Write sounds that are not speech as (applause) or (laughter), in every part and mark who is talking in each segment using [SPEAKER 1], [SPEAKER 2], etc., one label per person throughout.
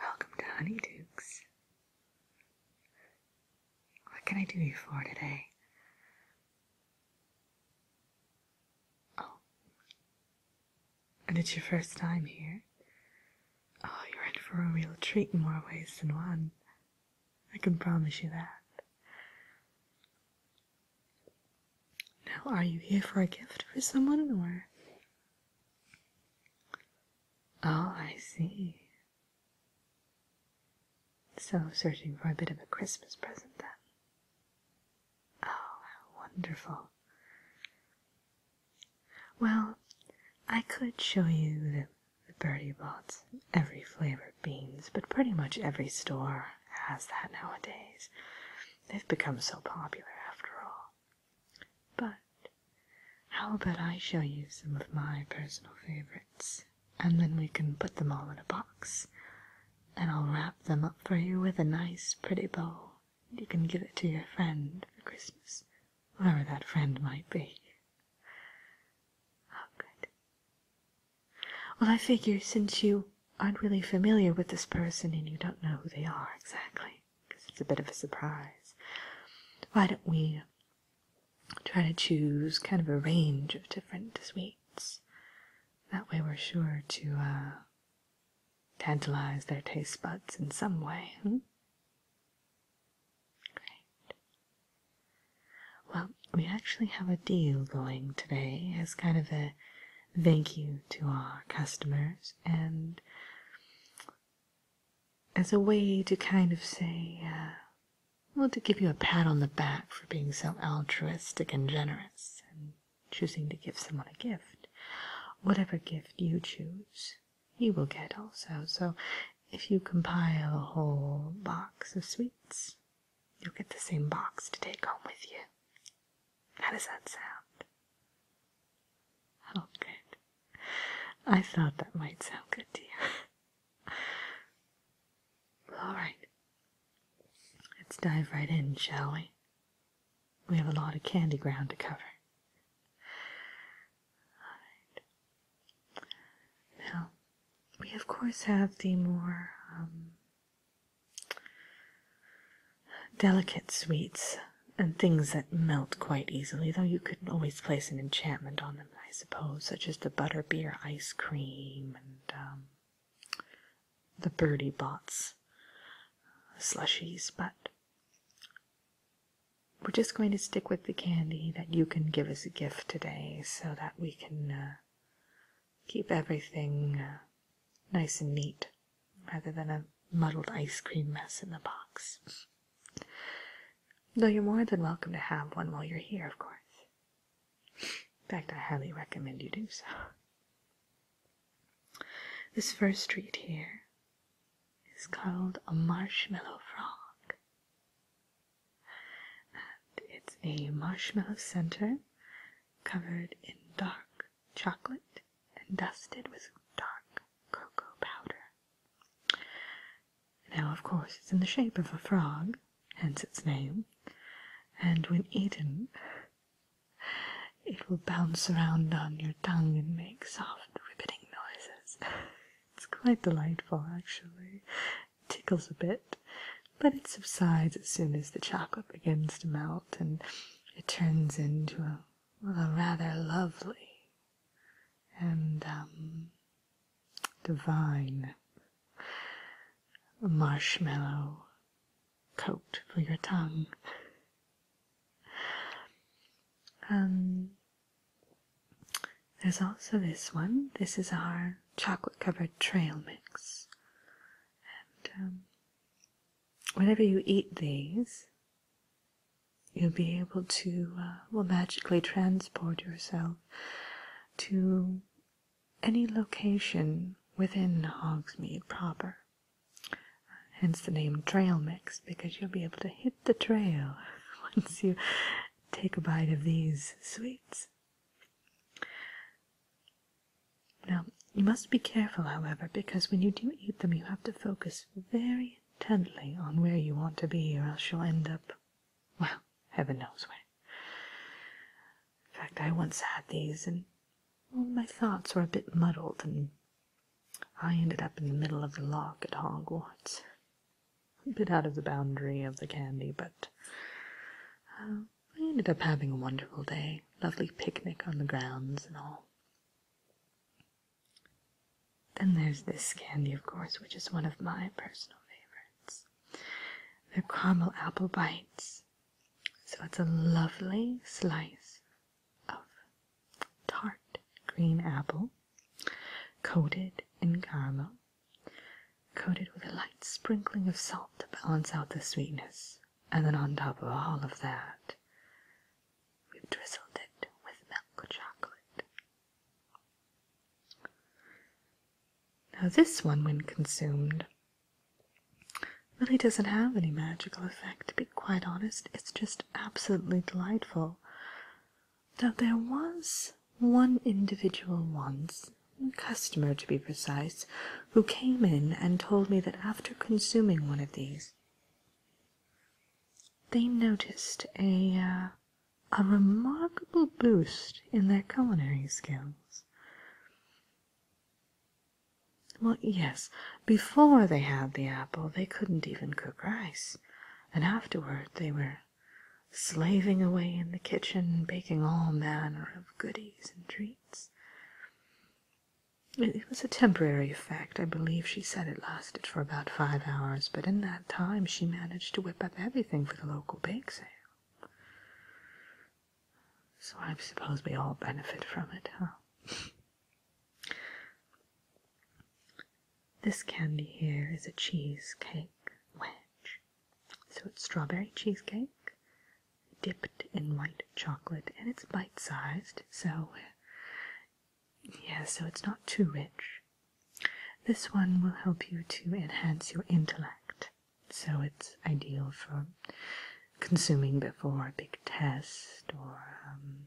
[SPEAKER 1] Welcome to Honey What can I do you for today? Oh. And it's your first time here? Oh, you're in for a real treat in more ways than one. I can promise you that. Now, are you here for a gift for someone or? Oh, I see. So, searching for a bit of a Christmas present then. Oh, how wonderful. Well, I could show you the the Birdie Bought every flavor of beans, but pretty much every store has that nowadays. They've become so popular after all. But how about I show you some of my personal favorites, and then we can put them all in a box, and I'll wrap them up for you with a nice pretty bow. and You can give it to your friend for Christmas, whoever that friend might be. Oh, good. Well, I figure since you aren't really familiar with this person and you don't know who they are exactly, because it's a bit of a surprise, why don't we try to choose kind of a range of different sweets? That way we're sure to uh, tantalize their taste buds in some way. Hmm? Great. Well, we actually have a deal going today as kind of a thank you to our customers and as a way to kind of say, uh, well, to give you a pat on the back for being so altruistic and generous and choosing to give someone a gift. Whatever gift you choose, you will get also. So if you compile a whole box of sweets, you'll get the same box to take home with you. How does that sound? Oh, good. I thought that might sound good to you. (laughs) All right. Let's dive right in, shall we? We have a lot of candy ground to cover. Now, we of course have the more um, delicate sweets and things that melt quite easily, though you could always place an enchantment on them, I suppose, such as the butterbeer ice cream and um, the birdie bots, uh, slushies, but we're just going to stick with the candy that you can give as a gift today so that we can uh, keep everything uh, nice and neat rather than a muddled ice cream mess in the box. Though you're more than welcome to have one while you're here, of course. In fact, I highly recommend you do so. This first treat here is called a marshmallow frog. And it's a marshmallow center covered in dark chocolate and dusted with dark cocoa powder. Now, of course, it's in the shape of a frog, hence its name, and when eaten, it will bounce around on your tongue and make soft, ribbiting noises. (laughs) It's quite delightful, actually. It tickles a bit, but it subsides as soon as the chocolate begins to melt, and it turns into a, rather lovely and um, divine marshmallow coat for your tongue. Um, there's also this one. This is our chocolate covered trail mix. And um, whenever you eat these, you'll be able to, uh, well, magically transport yourself to any location within Hogsmeade proper. Hence the name Trail Mix, because you'll be able to hit the trail (laughs) once you take a bite of these sweets. Now, you must be careful, however, because when you do eat them, you have to focus very intently on where you want to be, or else you'll end up, well, heaven knows where. In fact, I once had these, and all my thoughts were a bit muddled, and I ended up in the middle of the lock at Hogwarts a bit out of the boundary of the candy, but uh, I ended up having a wonderful day. Lovely picnic on the grounds and all. Then there's this candy, of course, which is one of my personal favorites. the caramel apple bites. So it's a lovely slice of tart green apple, coated in caramel, coated with a light sprinkling of salt to balance out the sweetness, and then on top of all of that, we've drizzled it with milk chocolate. Now, this one, when consumed, really doesn't have any magical effect, to be quite honest. It's just absolutely delightful that there was one individual once, a customer to be precise, who came in and told me that after consuming one of these they noticed a uh, a remarkable boost in their culinary skills. Well, yes, before they had the apple they couldn't even cook rice and afterward they were slaving away in the kitchen, baking all manner of goodies and treats. It was a temporary effect. I believe she said it lasted for about five hours, but in that time she managed to whip up everything for the local bake sale. So I suppose we all benefit from it, huh? (laughs) This candy here is a cheesecake wedge. So it's strawberry cheesecake dipped in white chocolate and it's bite-sized, so yeah, so it's not too rich. This one will help you to enhance your intellect. So it's ideal for consuming before a big test or um,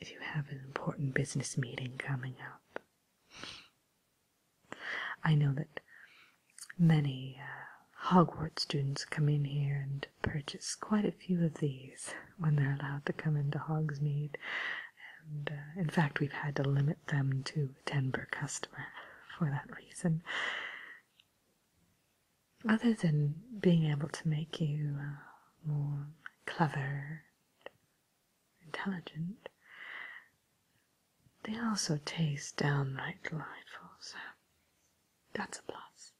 [SPEAKER 1] if you have an important business meeting coming up. I know that many uh, Hogwarts students come in here and purchase quite a few of these when they're allowed to come into Hogsmeade, and uh, in fact, we've had to limit them to ten per customer for that reason other than being able to make you uh, more clever and intelligent, they also taste downright delightful, so that's a plus.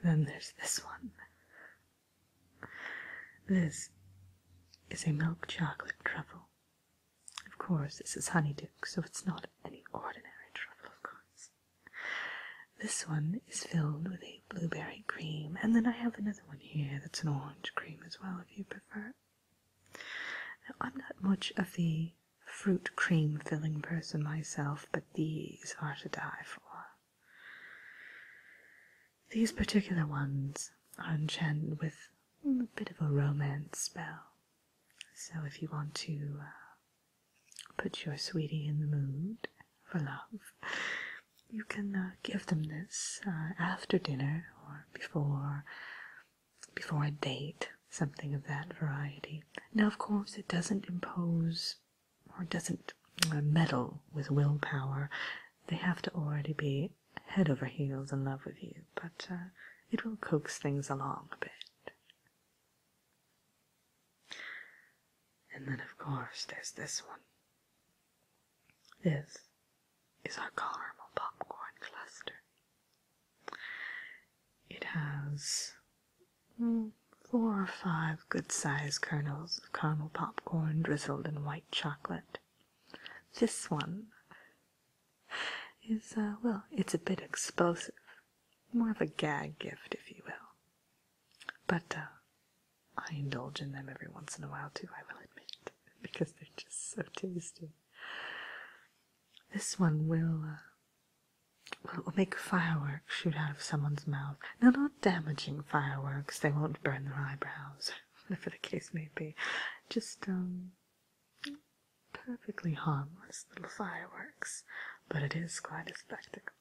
[SPEAKER 1] And then there's this one. This is a milk chocolate truffle. Of course, this is honeydew, so it's not any ordinary truffle, of course. This one is filled with a blueberry cream, and then I have another one here that's an orange cream as well, if you prefer. Now, I'm not much of the fruit cream filling person myself, but these are to die for. These particular ones are enchanted with a bit of a romance spell, so if you want to uh, put your sweetie in the mood for love, you can uh, give them this uh, after dinner or before before a date, something of that variety. Now, of course, it doesn't impose or doesn't uh, meddle with willpower. They have to already be head over heels in love with you, but it will coax things along a bit. And then, of course, there's this one. This is our caramel popcorn cluster. It has mm, four or five good-sized kernels of caramel popcorn drizzled in white chocolate. This one is, uh, well, it's a bit explosive. More of a gag gift, if you will. But uh, I indulge in them every once in a while too, I will admit, (laughs) because they're just so tasty. This one uh, will, will make fireworks shoot out of someone's mouth. No, not damaging fireworks, they won't burn their eyebrows, (laughs) whatever the case may be. Just, um, Perfectly harmless little fireworks, but it is quite a spectacle.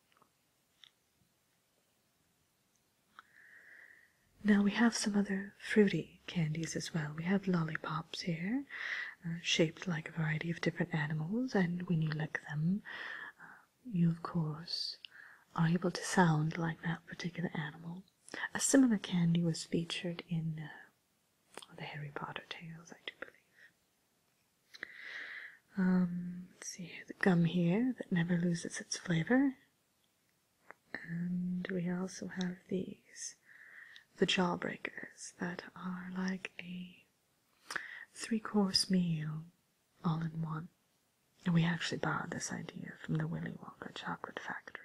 [SPEAKER 1] Now we have some other fruity candies as well. We have lollipops here, uh, shaped like a variety of different animals, and when you lick them, uh, you of course are able to sound like that particular animal. A similar candy was featured in uh, the Harry Potter tales, I do believe. Um, see the gum here that never loses its flavor. And we also have these, the jawbreakers that are like a three-course meal all in one. And we actually borrowed this idea from the Willy Wonka chocolate factory.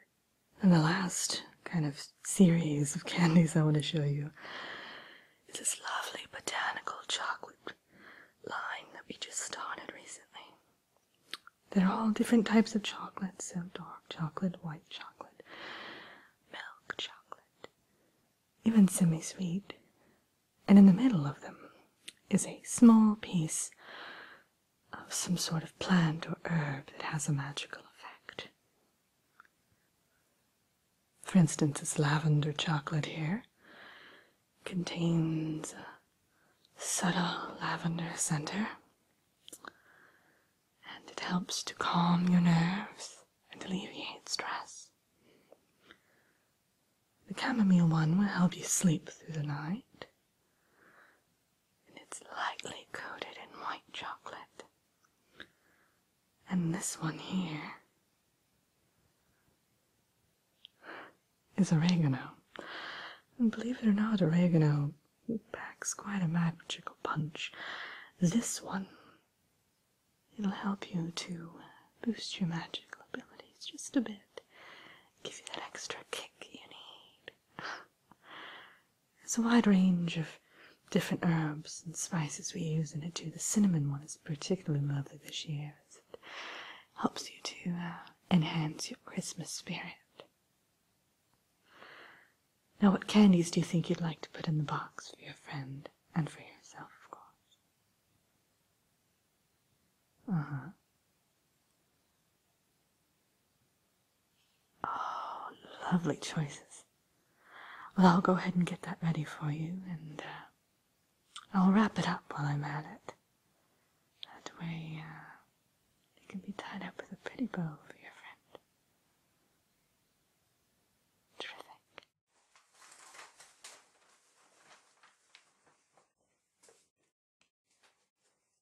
[SPEAKER 1] And the last kind of series of candies I want to show you is this lovely botanical chocolate line that we just started recently. They're all different types of chocolate, so dark chocolate, white chocolate, milk chocolate, even semi sweet. And in the middle of them is a small piece of some sort of plant or herb that has a magical effect. For instance, this lavender chocolate here contains a subtle lavender scent, and it helps to calm your nerves and alleviate stress. The chamomile one will help you sleep through the night and it's lightly coated in white chocolate. And this one here is oregano. And believe it or not, oregano packs quite a magical punch. This one, it'll help you to boost your magical abilities just a bit, give you that extra kick you need. (laughs) There's a wide range of different herbs and spices we use in it too. The cinnamon one is particularly lovely this year it helps you to uh, enhance your Christmas spirit. Now what candies do you think you'd like to put in the box for your friend and for yourself, of course? Uh-huh. Oh, lovely choices. Well, I'll go ahead and get that ready for you, and uh, I'll wrap it up while I'm at it. That way, it uh, can be tied up with a pretty bow for your friend. Terrific.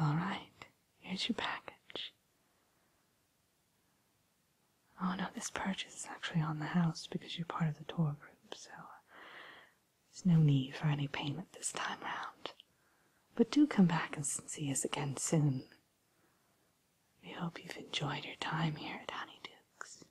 [SPEAKER 1] All right, here's your package. Oh no, this purchase is actually on the house because you're part of the tour group, so uh, there's no need for any payment this time round. But do come back and see us again soon. We hope you've enjoyed your time here at Honeydukes.